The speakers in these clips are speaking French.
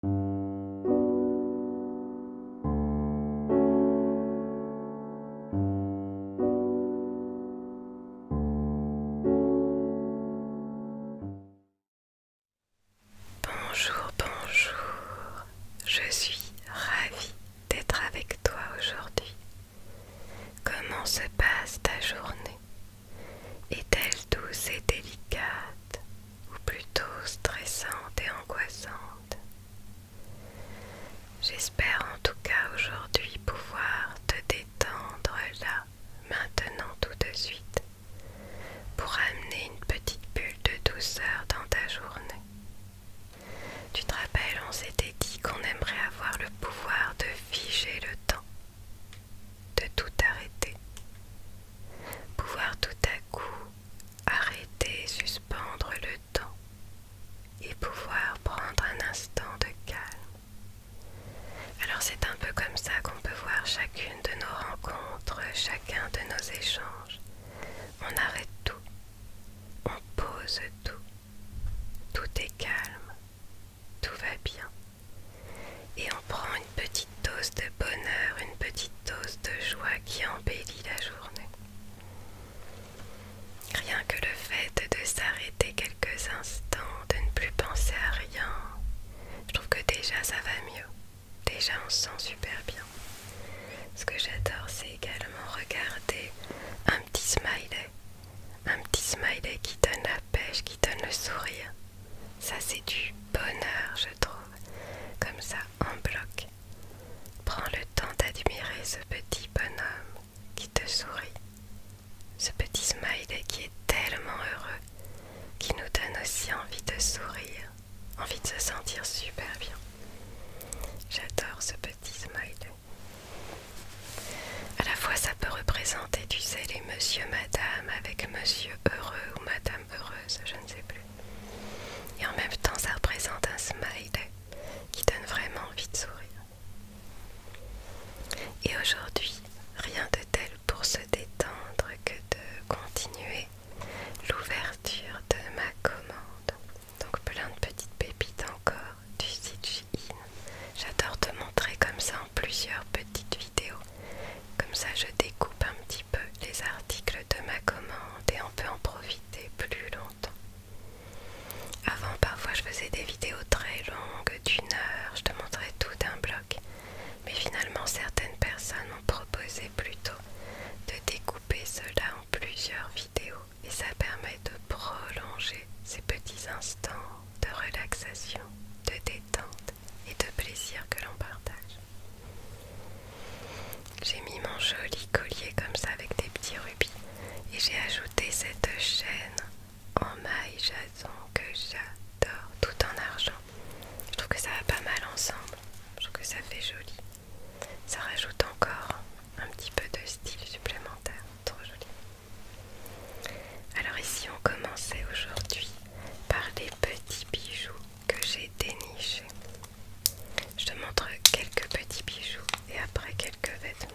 Bonjour, bonjour, je suis ravie d'être avec toi aujourd'hui. Comment se passe ta journée Est-elle douce et délicate ou plutôt stressante et angoissante. J'espère en tout cas aujourd'hui pouvoir te détendre là, maintenant tout de suite, pour amener une petite bulle de douceur dans ta journée. Tu te rappelles, on s'était dit qu'on aimerait avoir le pouvoir de figer le temps de tout arrêter. Pouvoir tout à coup arrêter, suspendre le temps et pouvoir prendre un instant de calme. Alors c'est un peu comme ça qu'on peut voir chacune de nos rencontres, chacun de nos échanges. On arrête tout, on pose tout, tout est calme, tout va bien. Et on prend une petite dose de bonheur, une petite dose de joie qui embellit la journée. Rien que le fait de s'arrêter quelques instants, de ne plus penser à rien, je trouve que déjà ça va mieux. Déjà on se sent super bien. Ce que j'adore c'est également regarder un petit smiley. Un petit smiley qui donne la pêche qui donne le sourire. Ça c'est du bonheur je trouve, comme ça en bloc. Prends le temps d'admirer ce petit bonhomme qui te sourit. Ce petit smiley qui est tellement heureux, qui nous donne aussi envie de sourire, envie de se sentir super bien. J'adore ce petit smiley. À la fois ça peut représenter, du zélé monsieur, madame avec monsieur heureux ou madame heureuse, je ne sais plus. Et en même temps, ça représente un smile qui donne vraiment envie de sourire. Et aujourd'hui, rien de tel pour se détendre que de continuer l'ouverture de ma commande. Donc plein de petites pépites encore du site J'adore te montrer comme ça plusieurs petites vidéos. Comme ça, je découpe un petit peu les articles de ma commande et on peut en profiter plus longtemps. Avant, parfois, je faisais des vidéos très longues, d'une heure, je te montrais tout d'un bloc. Mais finalement, certaines personnes ont proposé plutôt de découper cela en plusieurs vidéos et ça permet de prolonger ces petits instants de relaxation, de détente et de plaisir que l'on partage. J'ai mis mon joli collier comme ça avec des petits rubis et j'ai ajouté cette chaîne en maille jason que j'adore, tout en argent. Je trouve que ça va pas mal ensemble, je trouve que ça fait joli. Ça rajoute encore un petit peu de style supplémentaire, trop joli. Alors ici on commençait aujourd'hui par les petits bijoux que j'ai dénichés. Je te montre quelques petits bijoux et après quelques vêtements.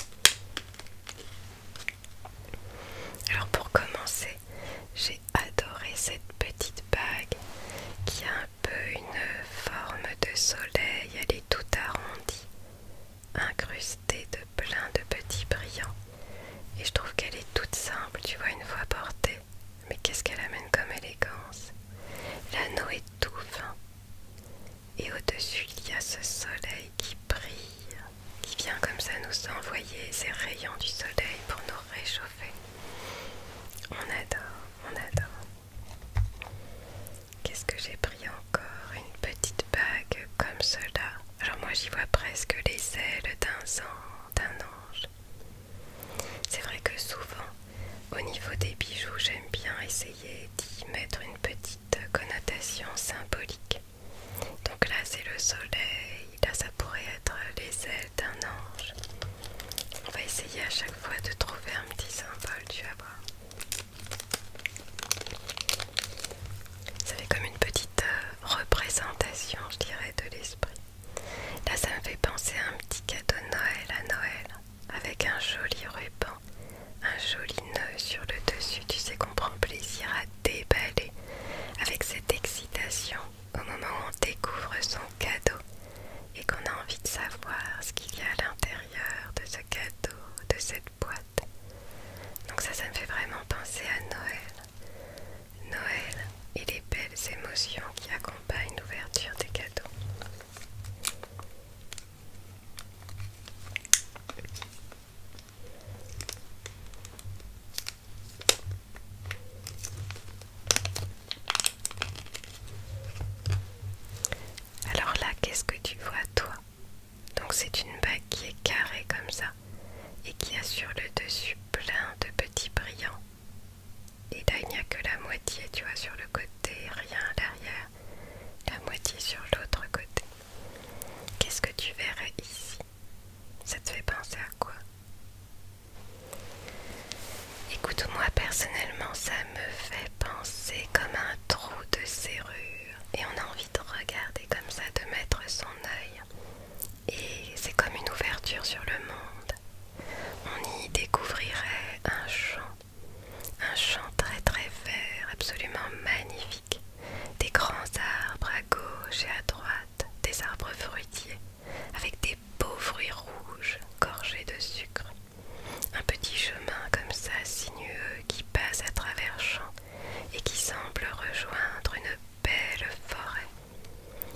Alors pour commencer, j'ai adoré cette petite bague qui a un peu une forme de soleil, elle est tout arrondie, incrustée de plein de petits brillants. Et je trouve qu'elle est toute simple, tu vois, une fois portée. Mais qu'est-ce qu'elle amène comme élégance L'anneau est tout fin. Et au-dessus, il y a ce soleil qui brille, qui vient comme ça nous envoyer ces rayons du soleil pour nous réchauffer. On adore, on adore. Qu'est-ce que j'ai pris encore Une petite bague comme cela, alors moi j'y vois presque les ailes d'un d'un ange. C'est vrai que souvent, au niveau des bijoux, j'aime bien essayer d'y mettre une petite connotation symbolique. Donc là c'est le soleil, là ça pourrait être les ailes d'un ange. On va essayer à chaque fois de trouver un petit symbole, tu vas voir. Ça fait comme une petite euh, représentation, je dirais, de l'esprit. Là, ça me fait penser à un petit cadeau Noël à Noël, avec un joli ruban, un joli nœud sur le dessus. Tu sais qu'on prend plaisir à déballer avec cette excitation au moment où on découvre son cadeau et qu'on a envie de savoir ce qu'il y a à l'intérieur de ce cadeau, de cette boîte. Donc ça, ça me fait vraiment penser à Noël. Noël et les belles émotions qui accompagnent l'ouverture des cadeaux. Alors là, qu'est-ce que tu vois toi donc c'est une bague qui est carrée comme ça et qui a sur le dessus plein de petits brillants. Et là il n'y a que la moitié, tu vois, sur le côté, rien derrière, la moitié sur l'autre côté. Qu'est-ce que tu verrais ici Ça te fait penser à quoi Écoute, moi personnellement, ça me fait penser comme un trou de serrure. Et on a de regarder comme ça, de mettre son œil. Et c'est comme une ouverture sur le monde. On y découvrirait un champ, un champ très très vert, absolument magnifique. Des grands arbres à gauche et à droite, des arbres fruitiers, avec des beaux fruits rouges gorgés de sucre. Un petit chemin comme ça sinueux qui passe à travers champ et qui semble rejoindre une belle forêt.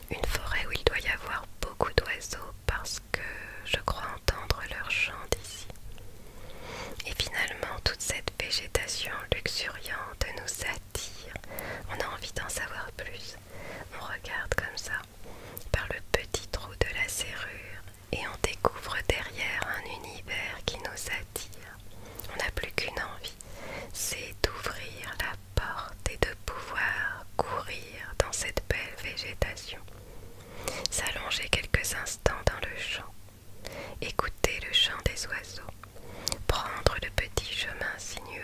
Une forêt où il doit y avoir beaucoup d'oiseaux parce que je crois entendre leur chant d'ici. Et finalement, toute cette végétation luxuriante nous attire. On a envie d'en savoir plus. On regarde comme ça par le petit trou de la serrure et on découvre derrière un univers qui nous attire. On n'a plus qu'une envie, c'est d'ouvrir la porte et de pouvoir courir dans cette belle végétation, s'allonger quelques instants dans le champ, écouter le chant des oiseaux, prendre le petit chemin sinueux,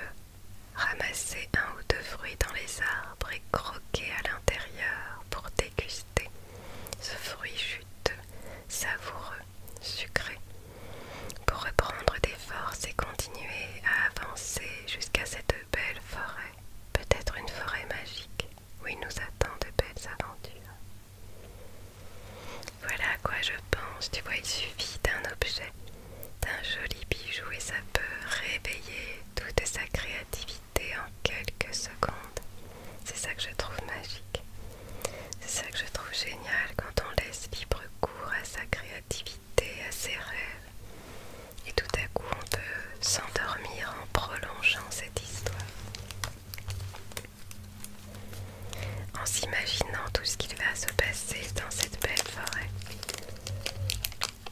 ramasser un ou deux fruits dans les arbres et croquer à l'intérieur pour déguster ce fruit juteux savoureux, sucré, pour reprendre des forces et continuer à avancer jusqu'à cette belle forêt, peut-être une forêt magique où il nous attend de belles aventures. Voilà à quoi je pense, tu vois, il suffit d'un objet, d'un joli bijou et ça peut réveiller toute sa créativité en quelques secondes. C'est ça que je trouve magique. C'est ça que je trouve génial quand on laisse libre cours à sa créativité, à ses rêves. Et tout à coup, on peut s'endormir en prolongeant cette histoire. En s'imaginant tout ce qu'il va se passer dans cette belle forêt.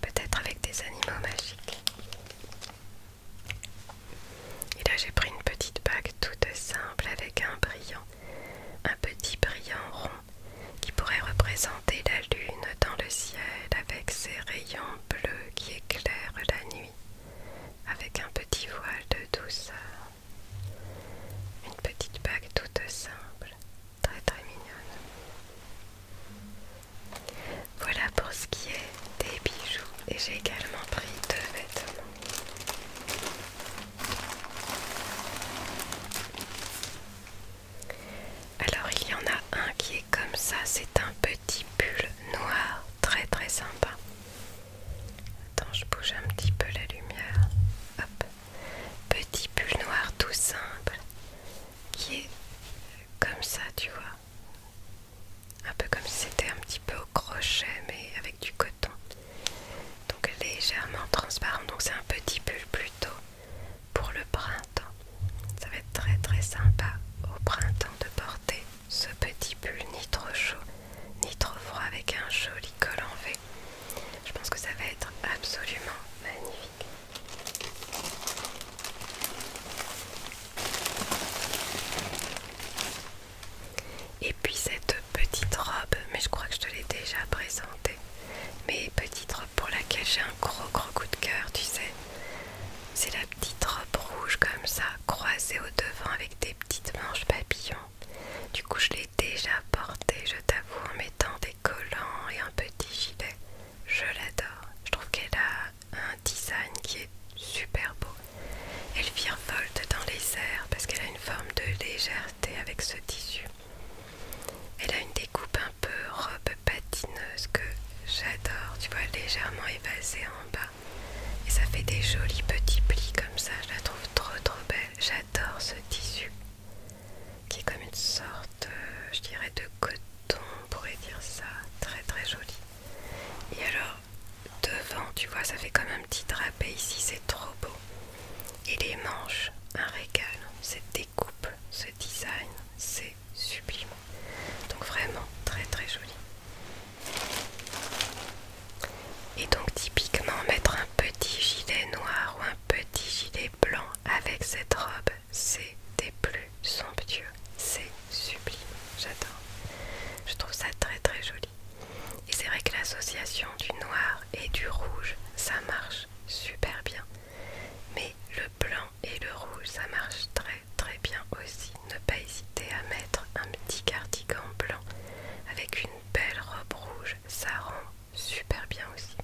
Peut-être avec des animaux magiques. Et là j'ai pris une petite bague toute simple avec un brillant, un petit brillant rond qui pourrait représenter la lune dans le ciel avec ses rayons bleus qui éclairent la nuit, avec un petit voile de douceur. Une petite bague toute simple, très très mignonne. Voilà pour ce qui est des bijoux et j'ai également pris deux vêtements. Alors il y en a un qui est comme ça, c'est un petit pull noir très très sympa. Attends, je bouge un petit peu la lumière. Petit pull noir tout simple qui est comme ça, tu vois un peu comme si c'était un petit peu au crochet mais avec du coton donc légèrement transparent donc c'est un petit pull plutôt pour le printemps ça va être très très sympa au printemps de porter ce petit pull ni trop chaud ni trop froid avec un joli col en V je pense que ça va être absolument magnifique et puis cette petite robe, mais je crois que je te l'ai déjà présentée, mais petite robe pour laquelle j'ai un gros gros coup de cœur, tu sais. C'est la petite robe rouge comme ça, croisée au devant avec des petites manches papillon Du coup je l'ai déjà portée, je t'avoue, en mettant des collants et un petit gilet. Je l'adore. Je trouve qu'elle a un design qui est super beau. Elle virevolte dans les airs parce qu'elle a une forme de légèreté avec ce tissu. Elle a une découpe un peu robe patineuse que j'adore, tu vois, légèrement évasée en bas. Et ça fait des jolis petits plis comme ça, je la trouve trop trop belle. J'adore ce tissu qui est comme une sorte, euh, je dirais, de coton, pourrait dire ça, très très joli. Et alors, devant, tu vois, ça fait comme un petit drapé ici, c'est trop beau. Et les manches, un régal. Cette découpe, ce design, c'est sublime. Donc vraiment très très joli. Et donc typiquement mettre un petit gilet noir ou un petit gilet blanc avec cette robe, c'est des plus somptueux, c'est sublime, j'adore. Je trouve ça très très joli. Et c'est vrai que l'association du noir et du rouge, ça marche super bien. Mais le blanc et le rouge, ça marche très très bien aussi. Ne pas hésiter à mettre un petit cardigan blanc avec une belle robe rouge, ça rend super bien aussi.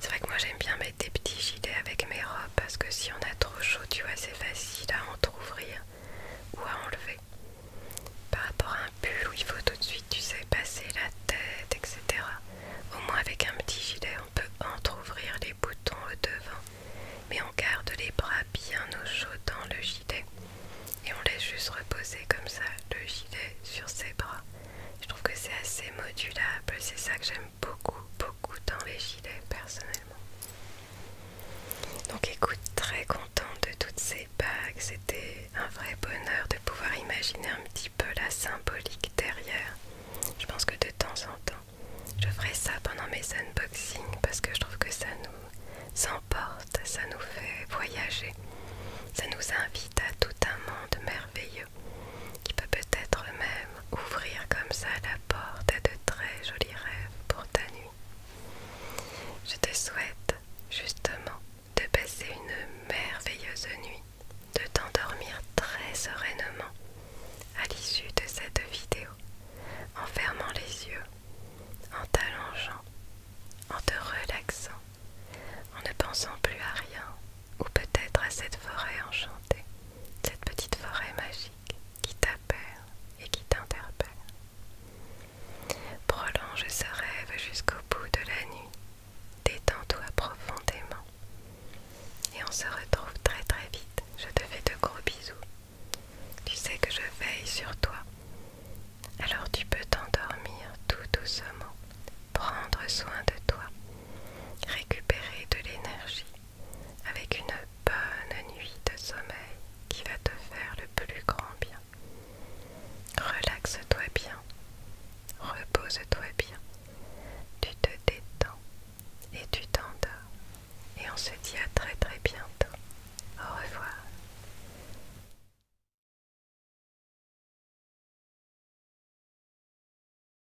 C'est vrai que moi j'aime bien mettre des petits gilets avec mes robes parce que si on a trop chaud, tu vois, c'est facile à entrouvrir ou à enlever. Par rapport à un pull où il faut tout de suite, tu sais, passer la tête, etc. Au moins avec un petit gilet, on peut entrouvrir les boutons au devant, mais on garde les bras bien au chaud dans le gilet et on laisse juste reposer comme ça le gilet sur ses bras. Je trouve que c'est assez modulable, c'est ça que j'aime beaucoup, beaucoup dans les gilets personnellement. Donc écoute, très content de toutes ces bagues. C'était un vrai bonheur de pouvoir imaginer un petit peu la symbolique derrière. Je pense que de temps en temps, je ferai ça pendant mes unboxing parce que je trouve que ça nous emporte, ça nous fait voyager. Ça nous invite à tout un monde merveilleux qui peut peut-être même ouvrir comme ça la porte à de très jolis rêves pour ta nuit. Je te souhaite justement de passer une merveilleuse nuit, de t'endormir très sereinement à l'issue de cette vidéo, en fermant les yeux, en t'allongeant, en te relaxant, en ne pensant plus à rien, ou peut-être à cette forêt enchantée, cette petite forêt magique qui t'appelle et qui t'interpelle. Prolonge ce rêve jusqu'au bout de la nuit, détends-toi profondément et on se retrouve très très vite. Je te fais de gros bisous. Tu sais que je veille sur toi. Alors tu peux t'endormir tout doucement, prendre soin de toi, récupérer de l'énergie avec une bonne nuit de sommeil qui va te faire le plus grand bien. Relaxe-toi bien, repose-toi bien, tu te détends et tu t'endors. Et on se dit à très très bientôt. Au revoir.